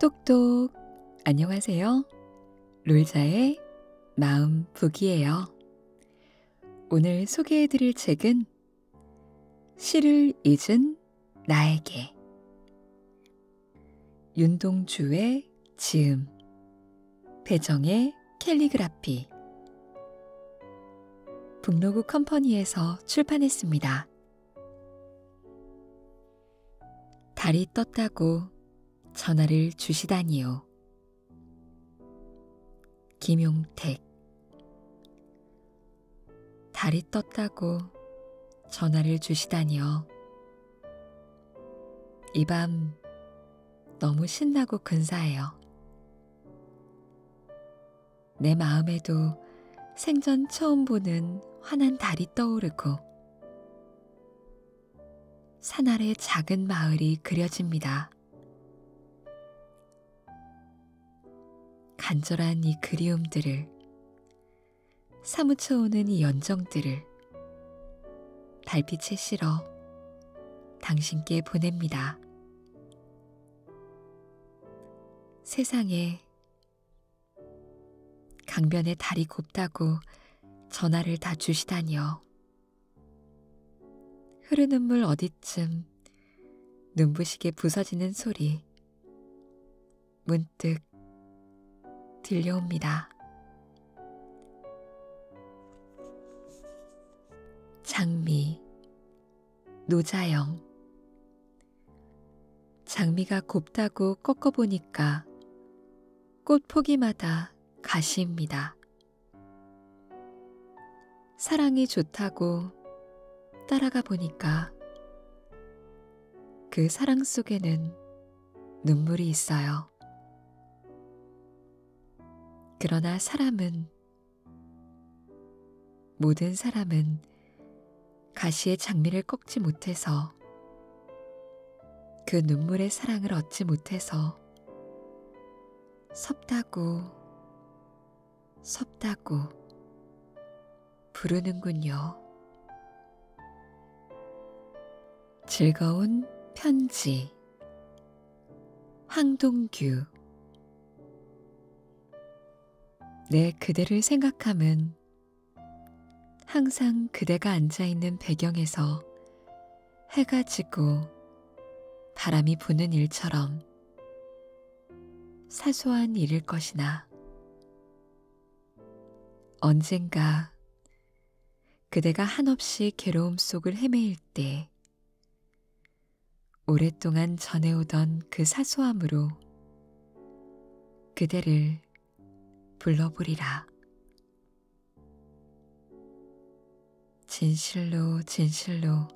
똑똑 안녕하세요. 롤자의 마음 북이에요. 오늘 소개해 드릴 책은 시를 잊은 나에게 윤동주의 지음, 배정의 캘리그라피, 북로구 컴퍼니에서 출판했습니다. 달이 떴다고 전화를 주시다니요. 김용택 달이 떴다고 전화를 주시다니요. 이 밤 너무 신나고 근사해요. 내 마음에도 생전 처음 보는 환한 달이 떠오르고 산 아래 작은 마을이 그려집니다. 간절한 이 그리움들을 사무쳐오는 이 연정들을 달빛에 실어 당신께 보냅니다. 세상에 강변의 달이 곱다고 전화를 다 주시다니요. 흐르는 물 어디쯤 눈부시게 부서지는 소리 문득 듯 들려옵니다. 장미, 노자영. 장미가 곱다고 꺾어보니까 꽃 포기마다 가시입니다. 사랑이 좋다고 따라가 보니까 그 사랑 속에는 눈물이 있어요. 그러나 사람은 모든 사람은 가시의 장미를 꺾지 못해서 그 눈물의 사랑을 얻지 못해서 섭다고 섭다고 부르는군요. 즐거운 편지 황동규 내 그대를 생각함은 항상 그대가 앉아있는 배경에서 해가 지고 바람이 부는 일처럼 사소한 일일 것이나 언젠가 그대가 한없이 괴로움 속을 헤매일 때 오랫동안 전해오던 그 사소함으로 그대를 불러보리라. 진실로 진실로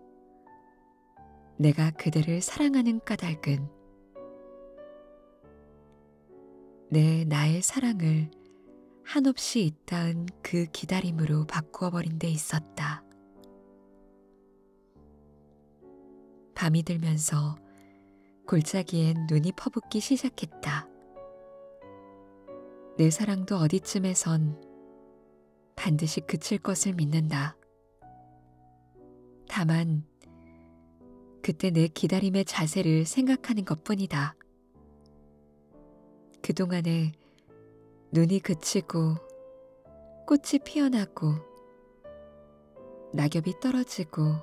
내가 그대를 사랑하는 까닭은 내 나의 사랑을 한없이 잇따은 그 기다림으로 바꾸어 버린 데 있었다. 밤이 들면서 골짜기엔 눈이 퍼붓기 시작했다. 내 사랑도 어디쯤에선 반드시 그칠 것을 믿는다. 다만 것은 그때 내 기다림의 자세를 생각하는 것뿐이다. 그동안에 눈이 그치고 꽃이 피어나고 낙엽이 떨어지고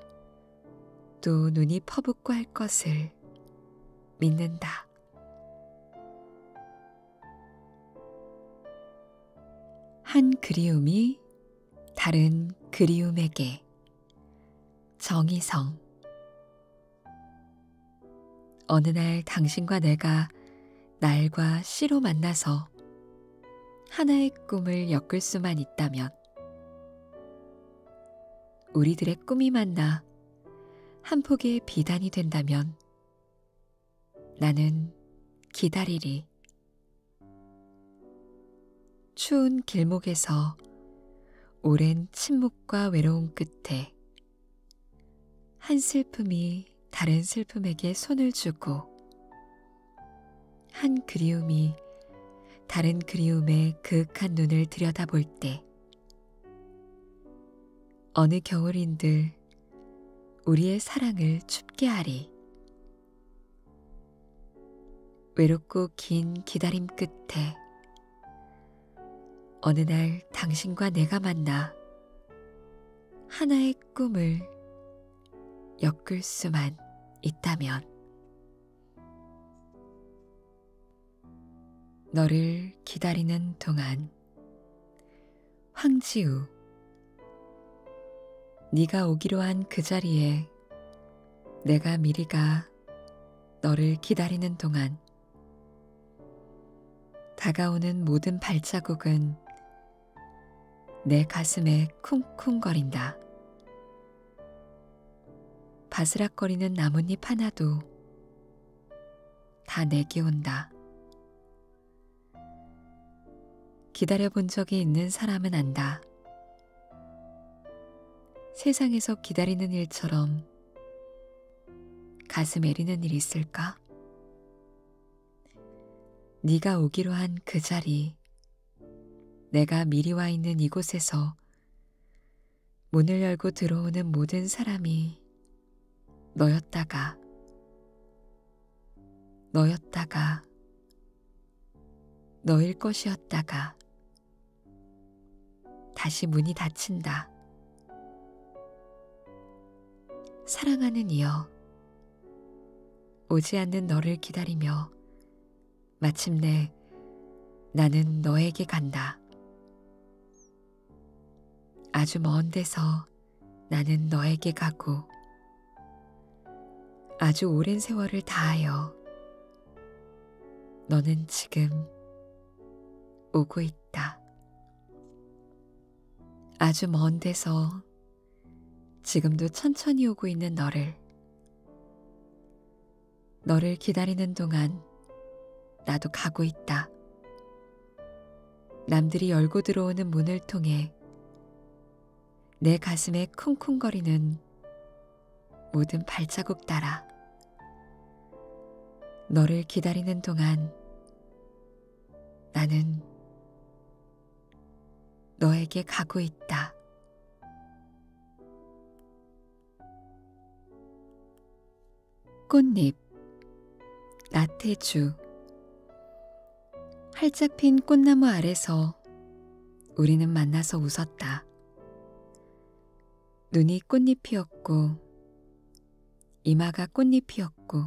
또 눈이 퍼붓고 할 것을 믿는다. 한 그리움이 다른 그리움에게 정의성 어느 날 당신과 내가 날과 씨로 만나서 하나의 꿈을 엮을 수만 있다면 우리들의 꿈이 만나 한 폭의 비단이 된다면 나는 기다리리. 추운 길목에서 오랜 침묵과 외로움 끝에 한 슬픔이 다른 슬픔에게 손을 주고 한 그리움이 다른 그리움에 그윽한 눈을 들여다볼 때 어느 겨울인들 우리의 사랑을 춥게 하리. 외롭고 긴 기다림 끝에 어느 날 당신과 내가 만나 하나의 꿈을 엮을 수만 있다면 너를 기다리는 동안 황지우 네가 오기로 한 그 자리에 내가 미리 가 너를 기다리는 동안 다가오는 모든 발자국은 내 가슴에 쿵쿵거린다. 바스락거리는 나뭇잎 하나도 다 내게 온다. 기다려본 적이 있는 사람은 안다. 세상에서 기다리는 일처럼 가슴 애리는 일이 있을까? 네가 오기로 한 그 자리, 내가 미리 와 있는 이곳에서 문을 열고 들어오는 모든 사람이 너였다가, 너였다가, 너일 것이었다가 다시 문이 닫힌다. 사랑하는 이여, 오지 않는 너를 기다리며 마침내 나는 너에게 간다. 아주 먼 데서 나는 너에게 가고 아주 오랜 세월을 다하여 너는 지금 오고 있다. 아주 먼 데서 지금도 천천히 오고 있는 너를 너를 기다리는 동안 나도 가고 있다. 남들이 열고 들어오는 문을 통해 내 가슴에 쿵쿵거리는 모든 발자국 따라 너를 기다리는 동안 나는 너에게 가고 있다. 꽃잎 나태주 활짝 핀 꽃나무 아래서 우리는 만나서 웃었다. 눈이 꽃잎이었고, 이마가 꽃잎이었고,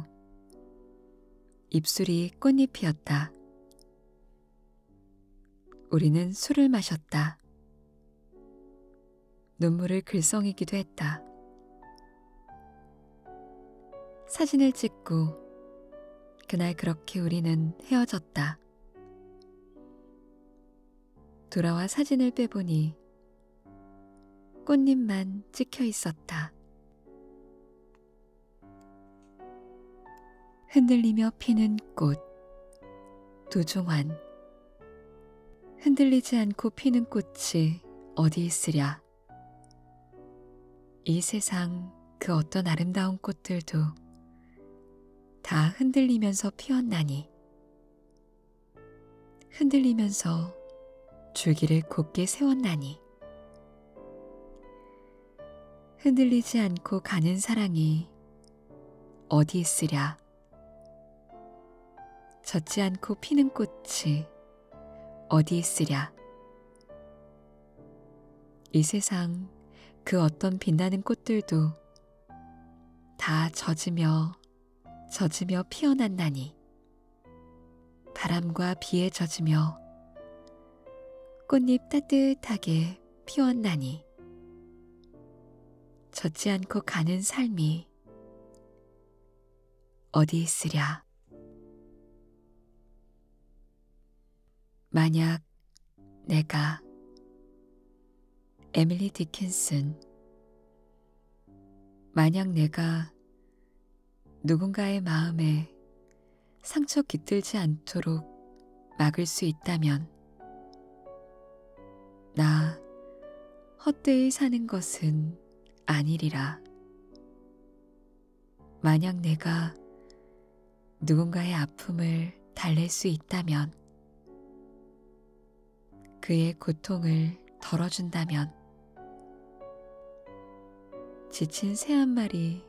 입술이 꽃잎이었다. 우리는 술을 마셨다. 눈물을 글썽이기도 했다. 사진을 찍고, 그날 그렇게 우리는 헤어졌다. 돌아와 사진을 빼보니 꽃잎만 찍혀 있었다. 흔들리며 피는 꽃, 도종환. 흔들리지 않고 피는 꽃이 어디 있으랴. 이 세상 그 어떤 아름다운 꽃들도 다 흔들리면서 피었나니 흔들리면서 줄기를 곧게 세웠나니 흔들리지 않고 가는 사랑이 어디 있으랴 젖지 않고 피는 꽃이 어디 있으랴 이 세상 그 어떤 빛나는 꽃들도 다 젖으며 젖으며 피어났나니 바람과 비에 젖으며 꽃잎 따뜻하게 피었나니 젖지 않고 가는 삶이 어디 있으랴. 만약 내가 에밀리 디킨슨 만약 내가 누군가의 마음에 상처 깃들지 않도록 막을 수 있다면 나 헛되이 사는 것은 아니리라. 만약 내가 누군가의 아픔을 달랠 수 있다면, 그의 고통을 덜어준다면, 지친 새 한 마리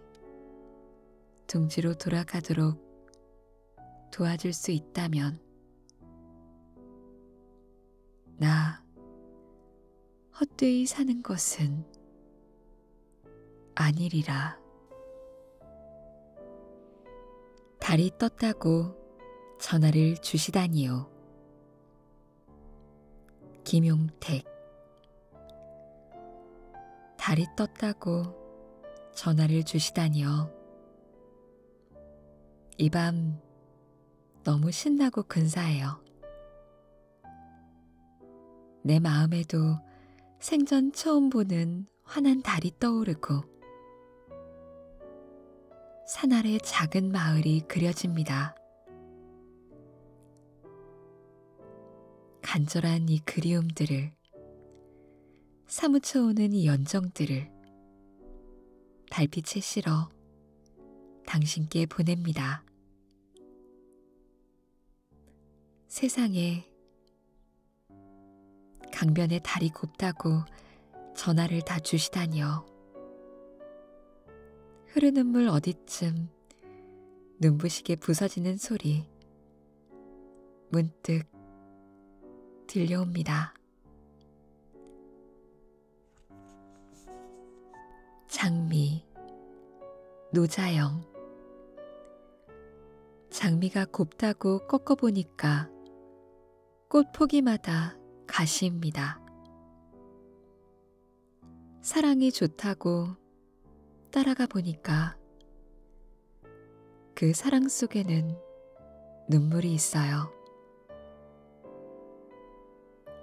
둥지로 돌아가도록 도와줄 수 있다면, 나 헛되이 사는 것은 아니리라. 달이 떴다고 전화를 주시다니요. 김용택 달이 떴다고 전화를 주시다니요. 이 밤 너무 신나고 근사해요. 내 마음에도 생전 처음 보는 환한 달이 떠오르고 산 아래 작은 마을이 그려집니다. 간절한 이 그리움들을 사무쳐오는 이 연정들을 달빛에 실어 당신께 보냅니다. 세상에 강변에 달이 곱다고 전화를 다 주시다니요. 흐르는 물 어디쯤 눈부시게 부서지는 소리 문득 들려옵니다. 장미 노자영 장미가 곱다고 꺾어보니까 꽃 포기마다 가시입니다. 사랑이 좋다고 따라가 보니까 그 사랑 속에는 눈물이 있어요.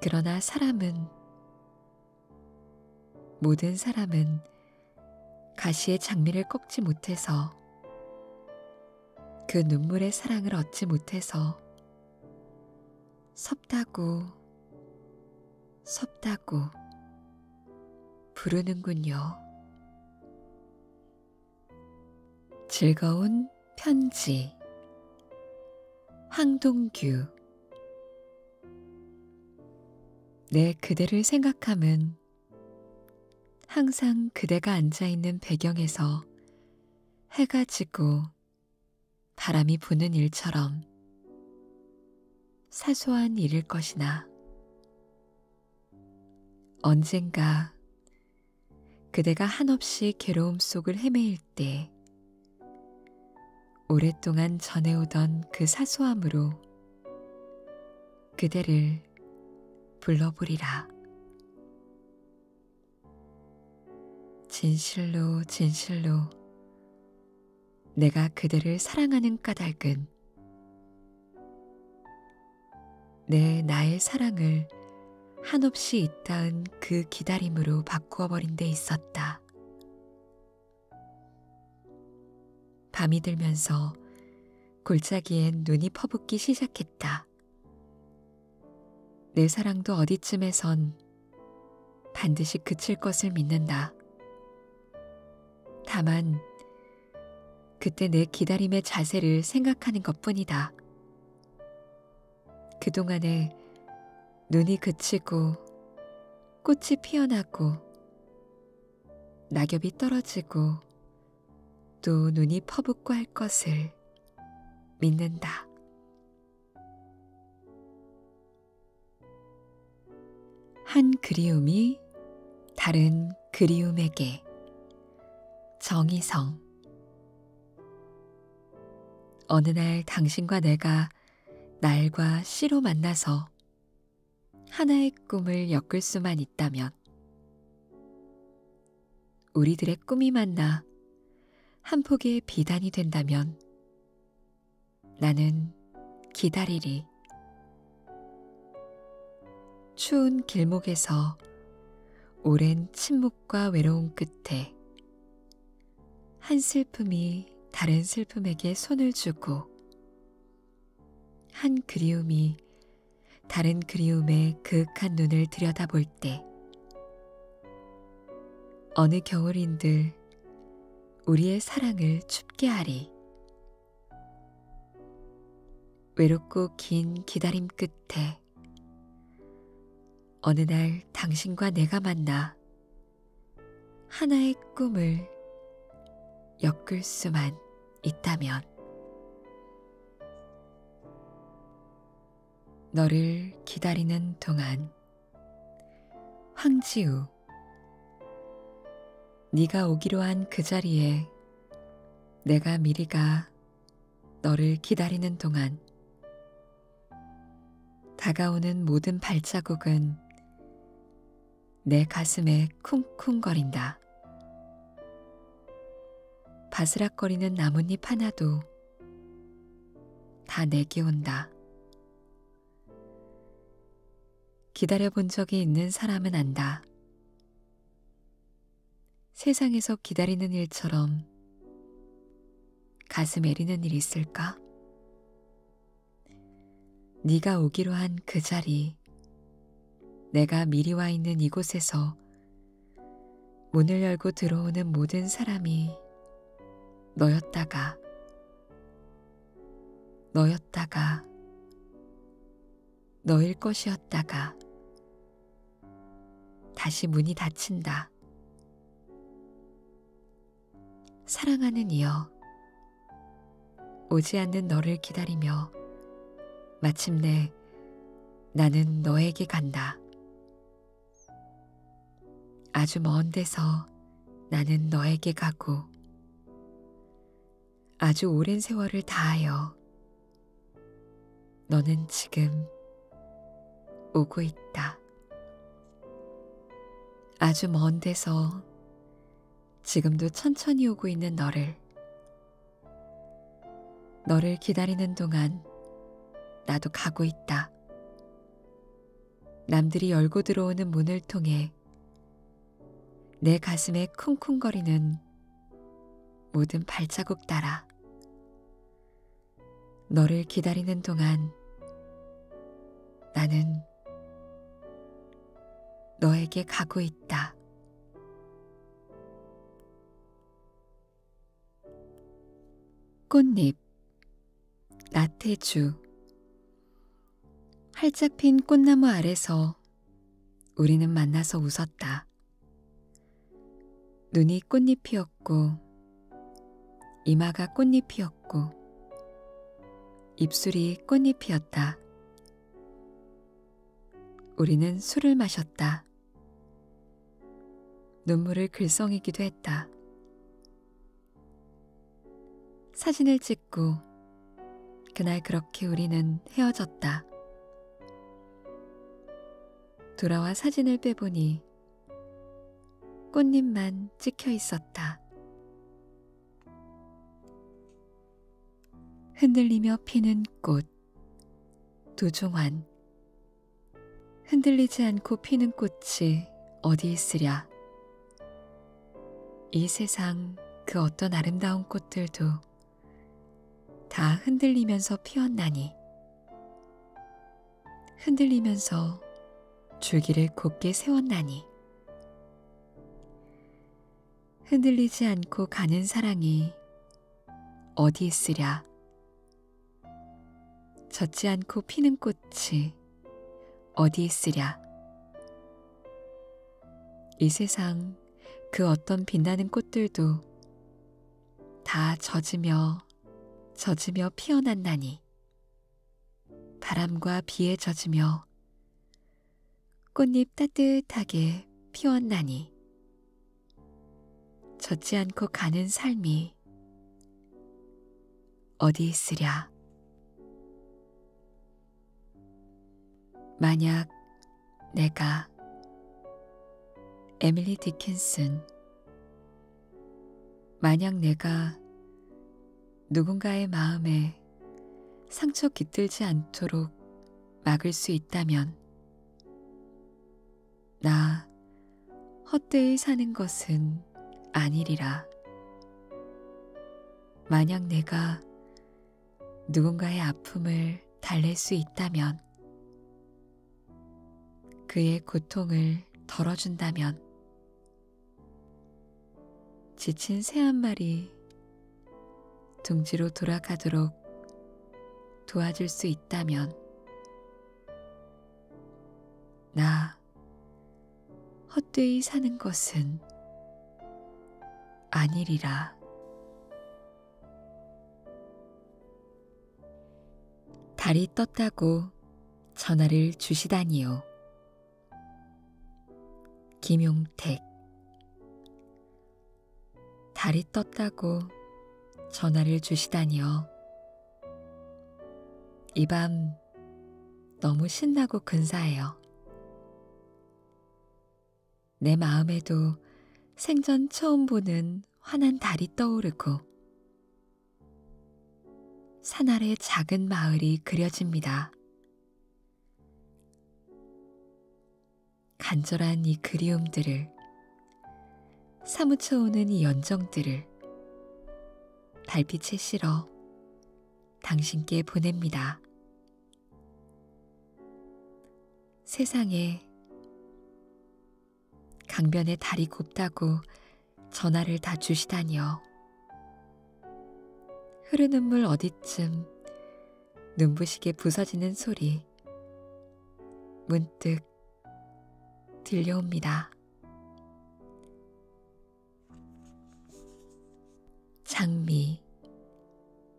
그러나 사람은 모든 사람은 가시의 장미를 꺾지 못해서 그 눈물의 사랑을 얻지 못해서 섭다고 섭다고 부르는군요. 즐거운 편지 황동규 내 그대를 생각함은 항상 그대가 앉아있는 배경에서 해가 지고 바람이 부는 일처럼 사소한 일일 것이나 언젠가 그대가 한없이 괴로움 속을 헤매일 때 오랫동안 전해오던 그 사소함으로 그대를 불러보리라. 진실로 진실로 내가 그대를 사랑하는 까닭은 내 나의 사랑을 한없이 잇따은 그 기다림으로 바꾸어 버린 데 있었다. 밤이 들면서 골짜기엔 눈이 퍼붓기 시작했다. 내 사랑도 어디쯤에선 반드시 그칠 것을 믿는다. 다만, 그때 내 기다림의 자세를 생각하는 것 뿐이다. 그동안에 눈이 그치고 꽃이 피어나고 낙엽이 떨어지고 또 눈이 퍼붓고 할 것을 믿는다. 한 그리움이 다른 그리움에게 정의성 어느 날 당신과 내가 날과 씨로 만나서 하나의 꿈을 엮을 수만 있다면 우리들의 꿈이 만나 한 폭의 비단이 된다면 나는 기다리리. 추운 길목에서 오랜 침묵과 외로움 끝에 한 슬픔이 다른 슬픔에게 손을 주고 한 그리움이 다른 그리움에 그윽한 눈을 들여다볼 때 어느 겨울인들 우리의 사랑을 춥게 하리. 외롭고 긴 기다림 끝에 어느 날 당신과 내가 만나 하나의 꿈을 엮을 수만 있다면 너를 기다리는 동안 황지우 네가 오기로 한 그 자리에 내가 미리 가 너를 기다리는 동안 다가오는 모든 발자국은 내 가슴에 쿵쿵거린다. 바스락거리는 나뭇잎 하나도 다 내게 온다. 기다려본 적이 있는 사람은 안다. 세상에서 기다리는 일처럼 가슴 애리는 일 있을까? 네가 오기로 한 그 자리 내가 미리 와 있는 이곳에서 문을 열고 들어오는 모든 사람이 너였다가, 너였다가, 너일 것이었다가, 다시 문이 닫힌다. 사랑하는 이여, 오지 않는 너를 기다리며 마침내 나는 너에게 간다. 아주 먼 데서 나는 너에게 가고 아주 오랜 세월을 다하여 너는 지금 오고 있다. 아주 먼 데서 지금도 천천히 오고 있는 너를. 너를 기다리는 동안 나도 가고 있다. 남들이 열고 들어오는 문을 통해 내 가슴에 쿵쿵거리는 모든 발자국 따라 너를 기다리는 동안 나는 너에게 가고 있다. 꽃잎 나태주 활짝 핀 꽃나무 아래서 우리는 만나서 웃었다. 눈이 꽃잎이었고 이마가 꽃잎이었고 입술이 꽃잎이었다. 우리는 술을 마셨다. 눈물을 글썽이기도 했다. 사진을 찍고 그날 그렇게 우리는 헤어졌다. 돌아와 사진을 빼보니 꽃잎만 찍혀 있었다. 흔들리며 피는 꽃 도종환 흔들리지 않고 피는 꽃이 어디 있으랴 이 세상 그 어떤 아름다운 꽃들도 다 흔들리면서 피었나니 흔들리면서 줄기를 곱게 세웠나니 흔들리지 않고 가는 사랑이 어디 있으랴? 젖지 않고 피는 꽃이 어디 있으랴? 이 세상 그 어떤 빛나는 꽃들도 다 젖으며 젖으며 피어났나니 바람과 비에 젖으며 꽃잎 따뜻하게 피웠나니 젖지 않고 가는 삶이 어디 있으랴. 만약 내가 에밀리 디킨슨 만약 내가 누군가의 마음에 상처 깃들지 않도록 막을 수 있다면 나 헛되이 사는 것은 아니리라. 만약 내가 누군가의 아픔을 달랠 수 있다면 그의 고통을 덜어준다면 지친 새 한 마리 둥지로 돌아가도록 도와줄 수 있다면 나 헛되이 사는 것은 아니리라. 달이 떴다고 전화를 주시다니요. 김용택 달이 떴다고 전화를 주시다니요. 이 밤 너무 신나고 근사해요. 내 마음에도 생전 처음 보는 환한 달이 떠오르고 산 아래 작은 마을이 그려집니다. 간절한 이 그리움들을 사무쳐 오는 이 연정들을 달빛에 실어 당신께 보냅니다. 세상에 강변의 달이 곱다고 전화를 다 주시다니요. 흐르는 물 어디쯤 눈부시게 부서지는 소리 문득 들려옵니다. 장미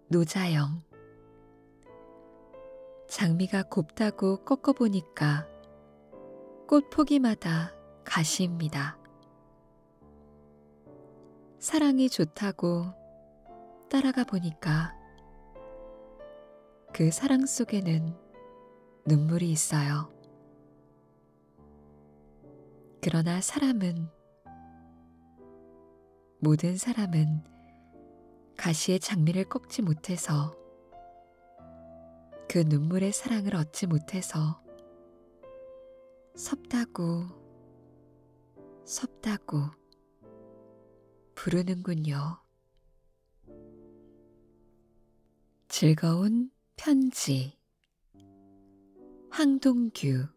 노자영 장미가 곱다고 꺾어보니까 꽃 포기마다 가시입니다. 사랑이 좋다고 따라가 보니까 그 사랑 속에는 눈물이 있어요. 그러나 사람은 모든 사람은 가시의 장미를 꺾지 못해서 그 눈물의 사랑을 얻지 못해서 섭다고 섭다고 부르는군요. 즐거운 편지 항동규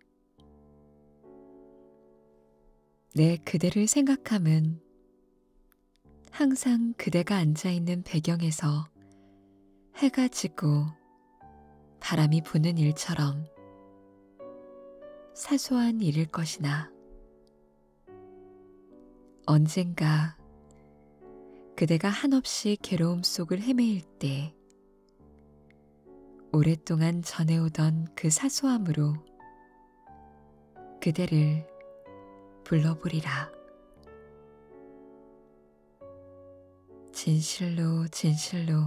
내 그대를 생각함은 항상 그대가 앉아있는 배경에서 해가 지고 바람이 부는 일처럼 사소한 일일 것이나 언젠가 그대가 한없이 괴로움 속을 헤매일 때 오랫동안 전해오던 그 사소함으로 그대를 불러보리라. 진실로 진실로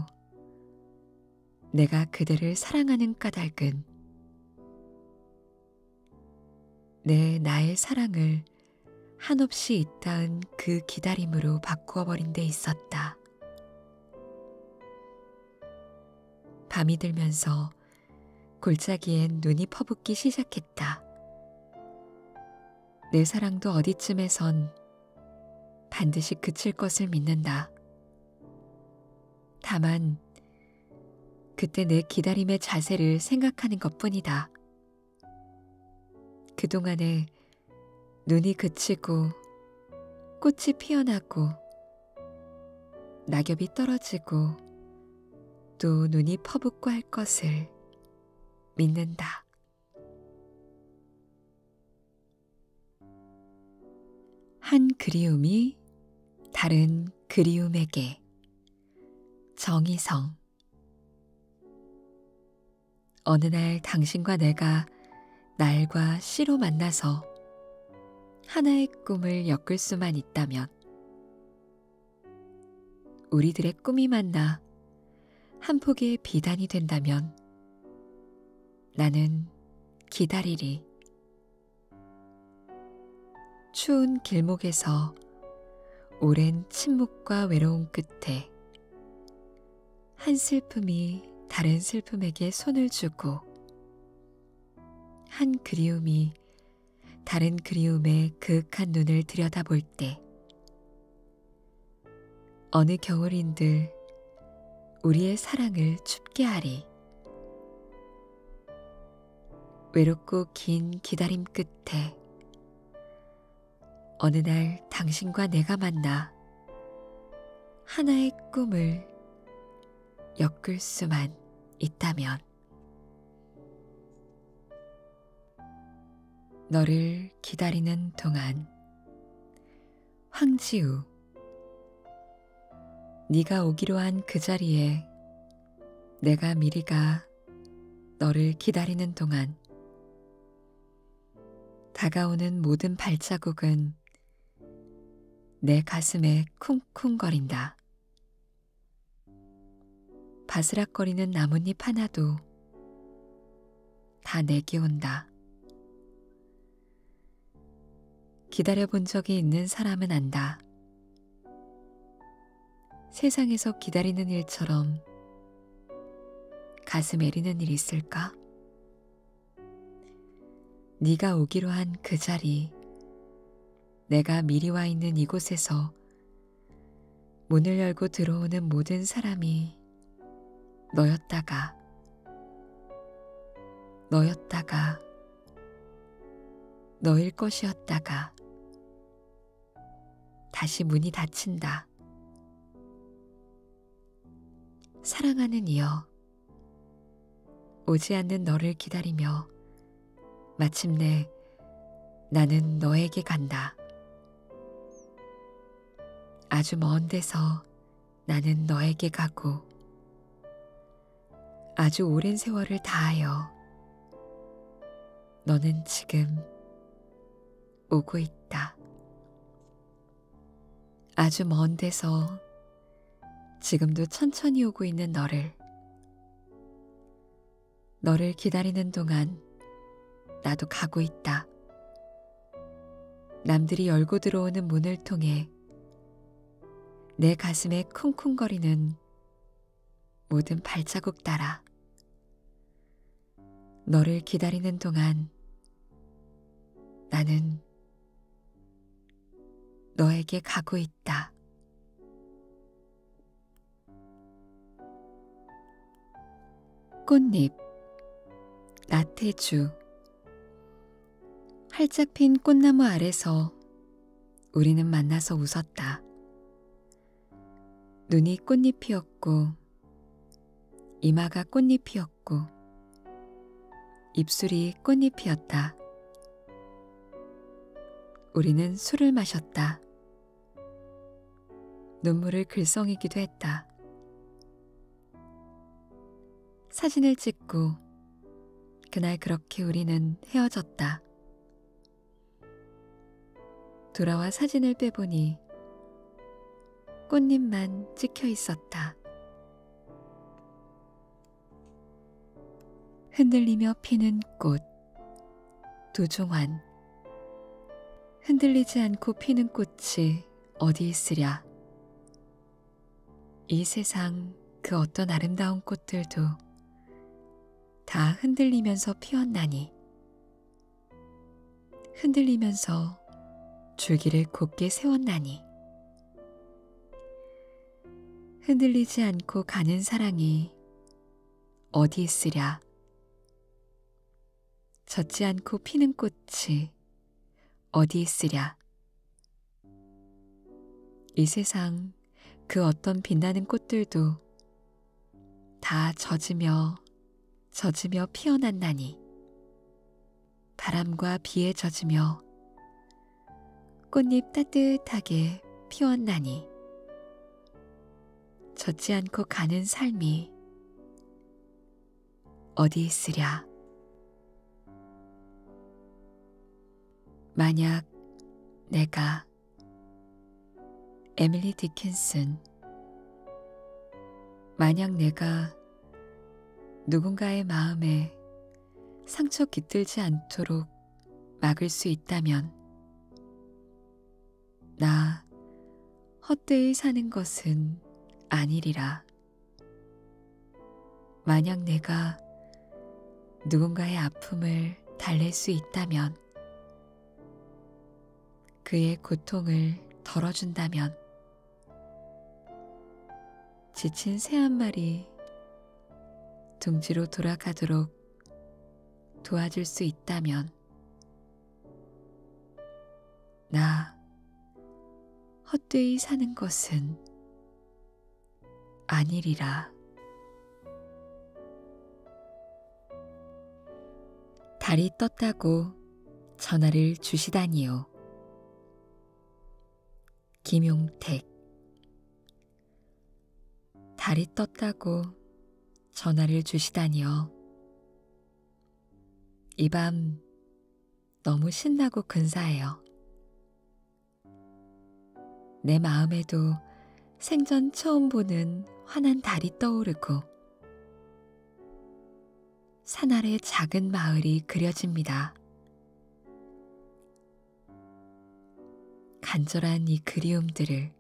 내가 그대를 사랑하는 까닭은 내 나의 사랑을 한없이 잇따은 그 기다림으로 바꾸어 버린 데 있었다. 밤이 들면서 골짜기엔 눈이 퍼붓기 시작했다. 내 사랑도 어디쯤에선 반드시 그칠 것을 믿는다. 다만 그때 내 기다림의 자세를 생각하는 것뿐이다. 그동안에 눈이 그치고 꽃이 피어나고 낙엽이 떨어지고 또 눈이 퍼붓고 할 것을 믿는다. 한 그리움이 다른 그리움에게 정의성 어느 날 당신과 내가 날과 시로 만나서 하나의 꿈을 엮을 수만 있다면 우리들의 꿈이 만나 한 폭의 비단이 된다면 나는 기다리리. 추운 길목에서 오랜 침묵과 외로움 끝에 한 슬픔이 다른 슬픔에게 손을 주고 한 그리움이 다른 그리움에 그윽한 눈을 들여다볼 때 어느 겨울인들 우리의 사랑을 춥게 하리. 외롭고 긴 기다림 끝에 어느 날 당신과 내가 만나 하나의 꿈을 엮을 수만 있다면 너를 기다리는 동안 황지우 네가 오기로 한 그 자리에 내가 미리 가 너를 기다리는 동안 다가오는 모든 발자국은 내 가슴에 쿵쿵거린다. 바스락거리는 나뭇잎 하나도 다 내게 온다. 기다려본 적이 있는 사람은 안다. 세상에서 기다리는 일처럼 가슴 애리는 일이 있을까? 네가 오기로 한 그 자리, 내가 미리 와 있는 이곳에서 문을 열고 들어오는 모든 사람이 너였다가 너였다가 너일 것이었다가 다시 문이 닫힌다. 사랑하는 이여, 오지 않는 너를 기다리며 마침내 나는 너에게 간다. 아주 먼 데서 나는 너에게 가고 아주 오랜 세월을 다하여 너는 지금 오고 있다. 아주 먼 데서 지금도 천천히 오고 있는 너를 너를 기다리는 동안 나도 가고 있다. 남들이 열고 들어오는 문을 통해 내 가슴에 쿵쿵거리는 모든 발자국 따라 너를 기다리는 동안 나는 너에게 가고 있다. 꽃잎 나태주 활짝 핀 꽃나무 아래서 우리는 만나서 웃었다. 눈이 꽃잎이었고, 이마가 꽃잎이었고, 입술이 꽃잎이었다. 우리는 술을 마셨다. 눈물을 글썽이기도 했다. 사진을 찍고 그날 그렇게 우리는 헤어졌다. 돌아와 사진을 빼보니 꽃잎만 찍혀 있었다. 흔들리며 피는 꽃, 도종환. 흔들리지 않고 피는 꽃이 어디 있으랴. 이 세상 그 어떤 아름다운 꽃들도 다 흔들리면서 피었나니 흔들리면서 줄기를 곱게 세웠나니 흔들리지 않고 가는 사랑이 어디 있으랴 젖지 않고 피는 꽃이 어디 있으랴 이 세상 그 어떤 빛나는 꽃들도 다 젖으며 젖으며 피어났나니 바람과 비에 젖으며 꽃잎 따뜻하게 피었나니 젖지 않고 가는 삶이 어디 있으랴? 만약 내가 에밀리 디킨슨 만약 내가 누군가의 마음에 상처 깃들지 않도록 막을 수 있다면 나 헛되이 사는 것은 아니리라. 만약 내가 누군가의 아픔을 달랠 수 있다면, 그의 고통을 덜어준다면, 지친 새 한 마리 둥지로 돌아가도록 도와줄 수 있다면, 나 헛되이 사는 것은 아니리라. 달이 떴다고 전화를 주시다니요. 김용택 달이 떴다고 전화를 주시다니요. 이밤 너무 신나고 근사해요. 내 마음에도 생전 처음 보는 환한 달이 떠오르고 산 아래 작은 마을이 그려집니다. 간절한 이 그리움들을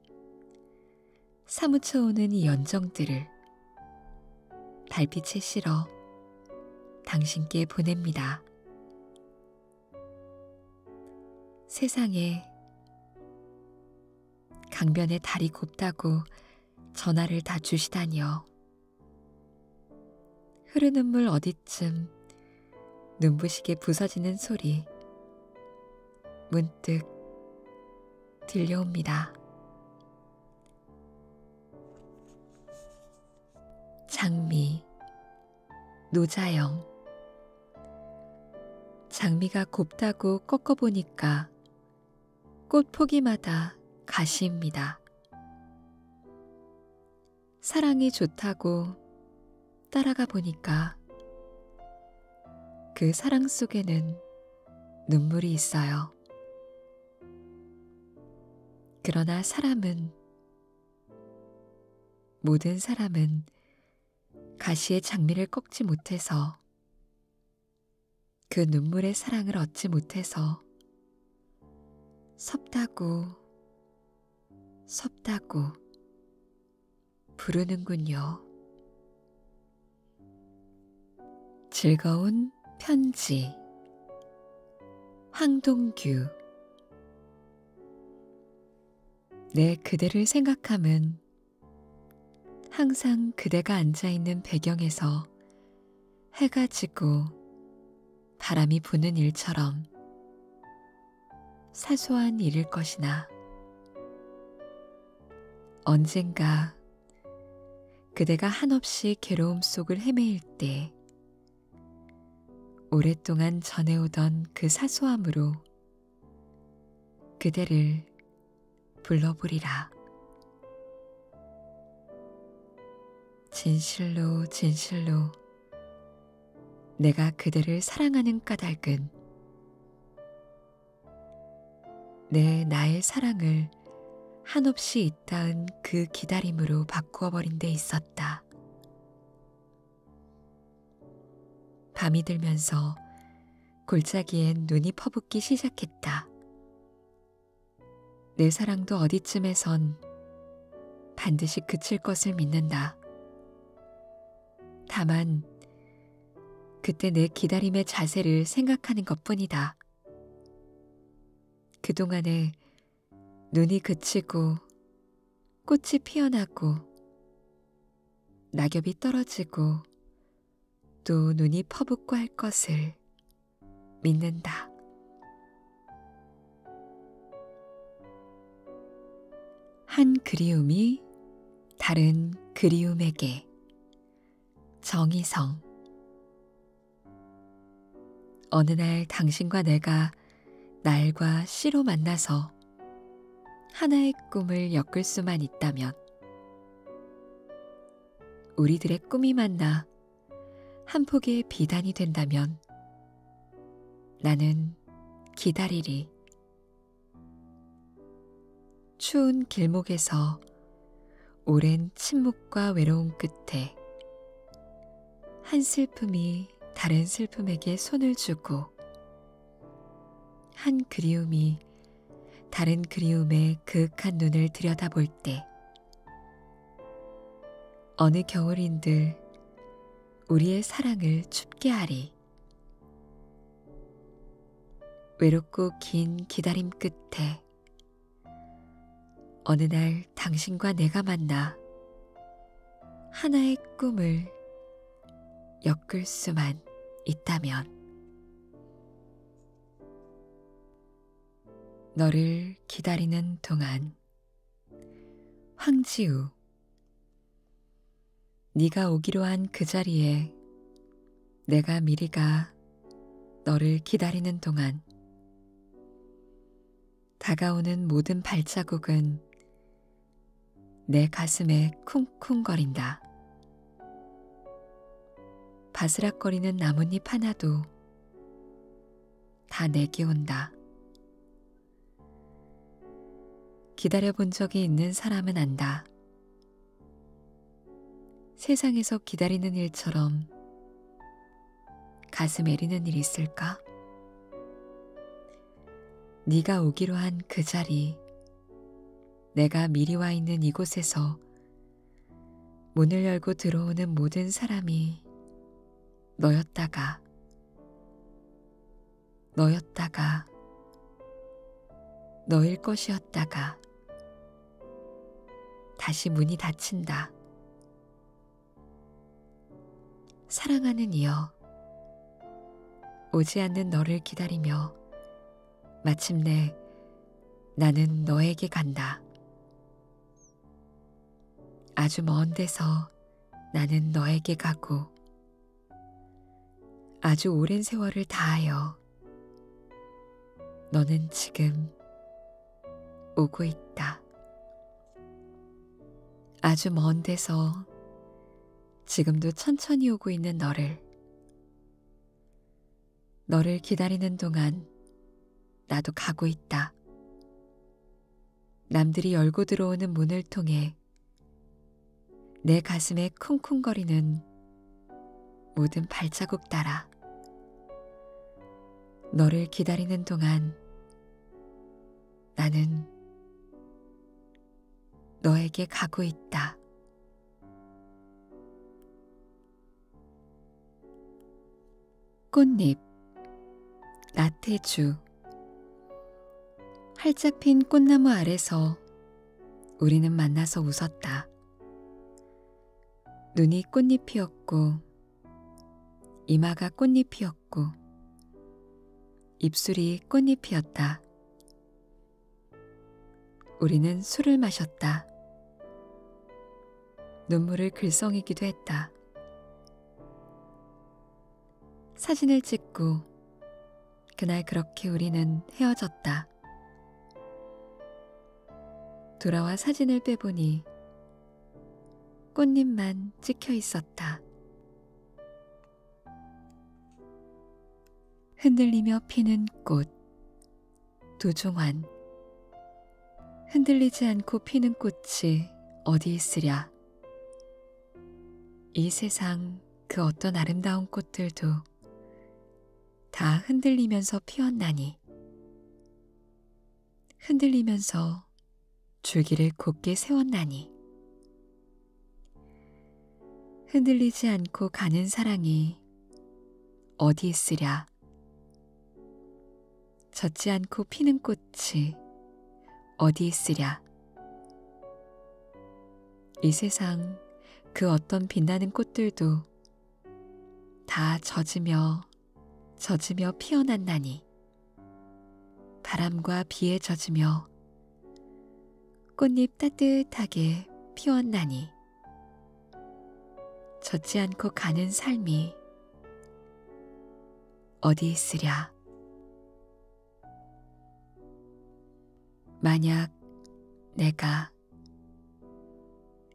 사무쳐오는 이 연정들을 달빛에 실어 당신께 보냅니다. 세상에 강변에 달이 곱다고 전화를 다 주시다니요. 흐르는 물 어디쯤 눈부시게 부서지는 소리 문득 들려옵니다. 장미, 노자영. 장미가 곱다고 꺾어보니까 꽃 포기마다 가시입니다. 사랑이 좋다고 따라가 보니까 그 사랑 속에는 눈물이 있어요. 그러나 사람은 모든 사람은 가시의 장미를 꺾지 못해서 그 눈물의 사랑을 얻지 못해서 섭다고 섭다고 부르는군요. 즐거운 편지 항동규 내 그대를 생각함은 항상 그대가 앉아있는 배경에서 해가 지고 바람이 부는 일처럼 사소한 일일 것이나 언젠가 그대가 한없이 괴로움 속을 헤매일 때 오랫동안 전해오던 그 사소함으로 그대를 불러보리라. 진실로 진실로 내가 그대를 사랑하는 까닭은 내 나의 사랑을 한없이 있다은 그 기다림으로 바꾸어 버린 데 있었다. 밤이 들면서 골짜기엔 눈이 퍼붓기 시작했다. 내 사랑도 어디쯤에선 반드시 그칠 것을 믿는다. 다만 그때 내 기다림의 자세를 생각하는 것뿐이다. 그동안에 눈이 그치고 꽃이 피어나고 낙엽이 떨어지고 또 눈이 퍼붓고 할 것을 믿는다. 한 그리움이 다른 그리움에게 정의성 어느 날 당신과 내가 날과 씨로 만나서 하나의 꿈을 엮을 수만 있다면 우리들의 꿈이 만나 한 폭의 비단이 된다면 나는 기다리리. 추운 길목에서 오랜 침묵과 외로움 끝에 한 슬픔이 다른 슬픔에게 손을 주고, 한 그리움이 다른 그리움에 그윽한 눈을 들여다볼 때, 어느 겨울인들 우리의 사랑을 춥게 하리. 외롭고 긴 기다림 끝에 어느 날 오늘 당신과 내가 만나 하나의 꿈을 엮을 수만 있다면 너를 기다리는 동안 황지우 네가 오기로 한 그 자리에 내가 미리 가 너를 기다리는 동안 다가오는 모든 발자국은 내 가슴에 쿵쿵거린다. 바스락거리는 나뭇잎 하나도 다 내게 온다. 기다려본 적이 있는 사람은 안다. 세상에서 기다리는 일처럼 가슴 애리는 일이 있을까? 네가 오기로 한 그 자리, 내가 미리 와 있는 이곳에서 문을 열고 들어오는 모든 사람이 너였다가, 너였다가, 너일 것이었다가, 다시 문이 닫힌다. 사랑하는 이여, 오지 않는 너를 기다리며 마침내 나는 너에게 간다. 아주 먼 데서 나는 너에게 가고 아주 오랜 세월을 다하여 너는 지금 오고 있다. 아주 먼 데서 지금도 천천히 오고 있는 너를 너를 기다리는 동안 나도 가고 있다. 남들이 열고 들어오는 문을 통해 내 가슴에 쿵쿵거리는 모든 발자국 따라 너를 기다리는 동안 나는 너에게 가고 있다. 꽃잎, 나태주. 활짝 핀 꽃나무 아래서 우리는 만나서 웃었다. 눈이 꽃잎이었고, 이마가 꽃잎이었고, 걷고 입술이 꽃잎이었다. 우리는 술을 마셨다. 눈물을 글썽이기도 했다. 사진을 찍고 그날 그렇게 우리는 헤어졌다. 돌아와 사진을 빼보니 꽃잎만 찍혀 있었다. 흔들리며 피는 꽃, 도종환. 흔들리지 않고 피는 꽃이 어디 있으랴. 이 세상 그 어떤 아름다운 꽃들도 다 흔들리면서 피었나니. 흔들리면서 줄기를 곧게 세웠나니 흔들리지 않고 가는 사랑이 어디 있으랴 젖지 않고 피는 꽃이 어디 있으랴 이 세상 그 어떤 빛나는 꽃들도 다 젖으며 젖으며 피어난 나니 바람과 비에 젖으며 꽃잎 따뜻하게 피었나니 젖지 않고 가는 삶이 어디 있으랴 만약 내가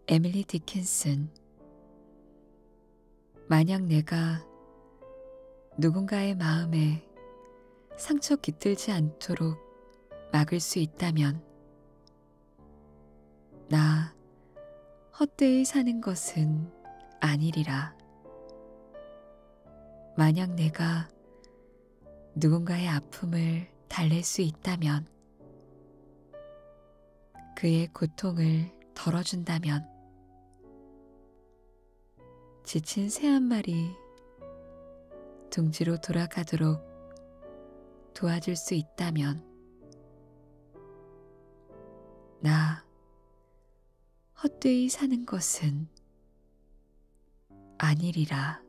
에밀리 디킨슨 만약 내가 누군가의 마음에 상처 깃들지 않도록 막을 수 있다면 나 헛되이 사는 것은 아니리라. 만약 내가 누군가의 아픔을 달랠 수 있다면 그의 고통을 덜어준다면 지친 새 한 마리 둥지로 돌아가도록 도와줄 수 있다면 나 헛되이 사는 것은 아니리라.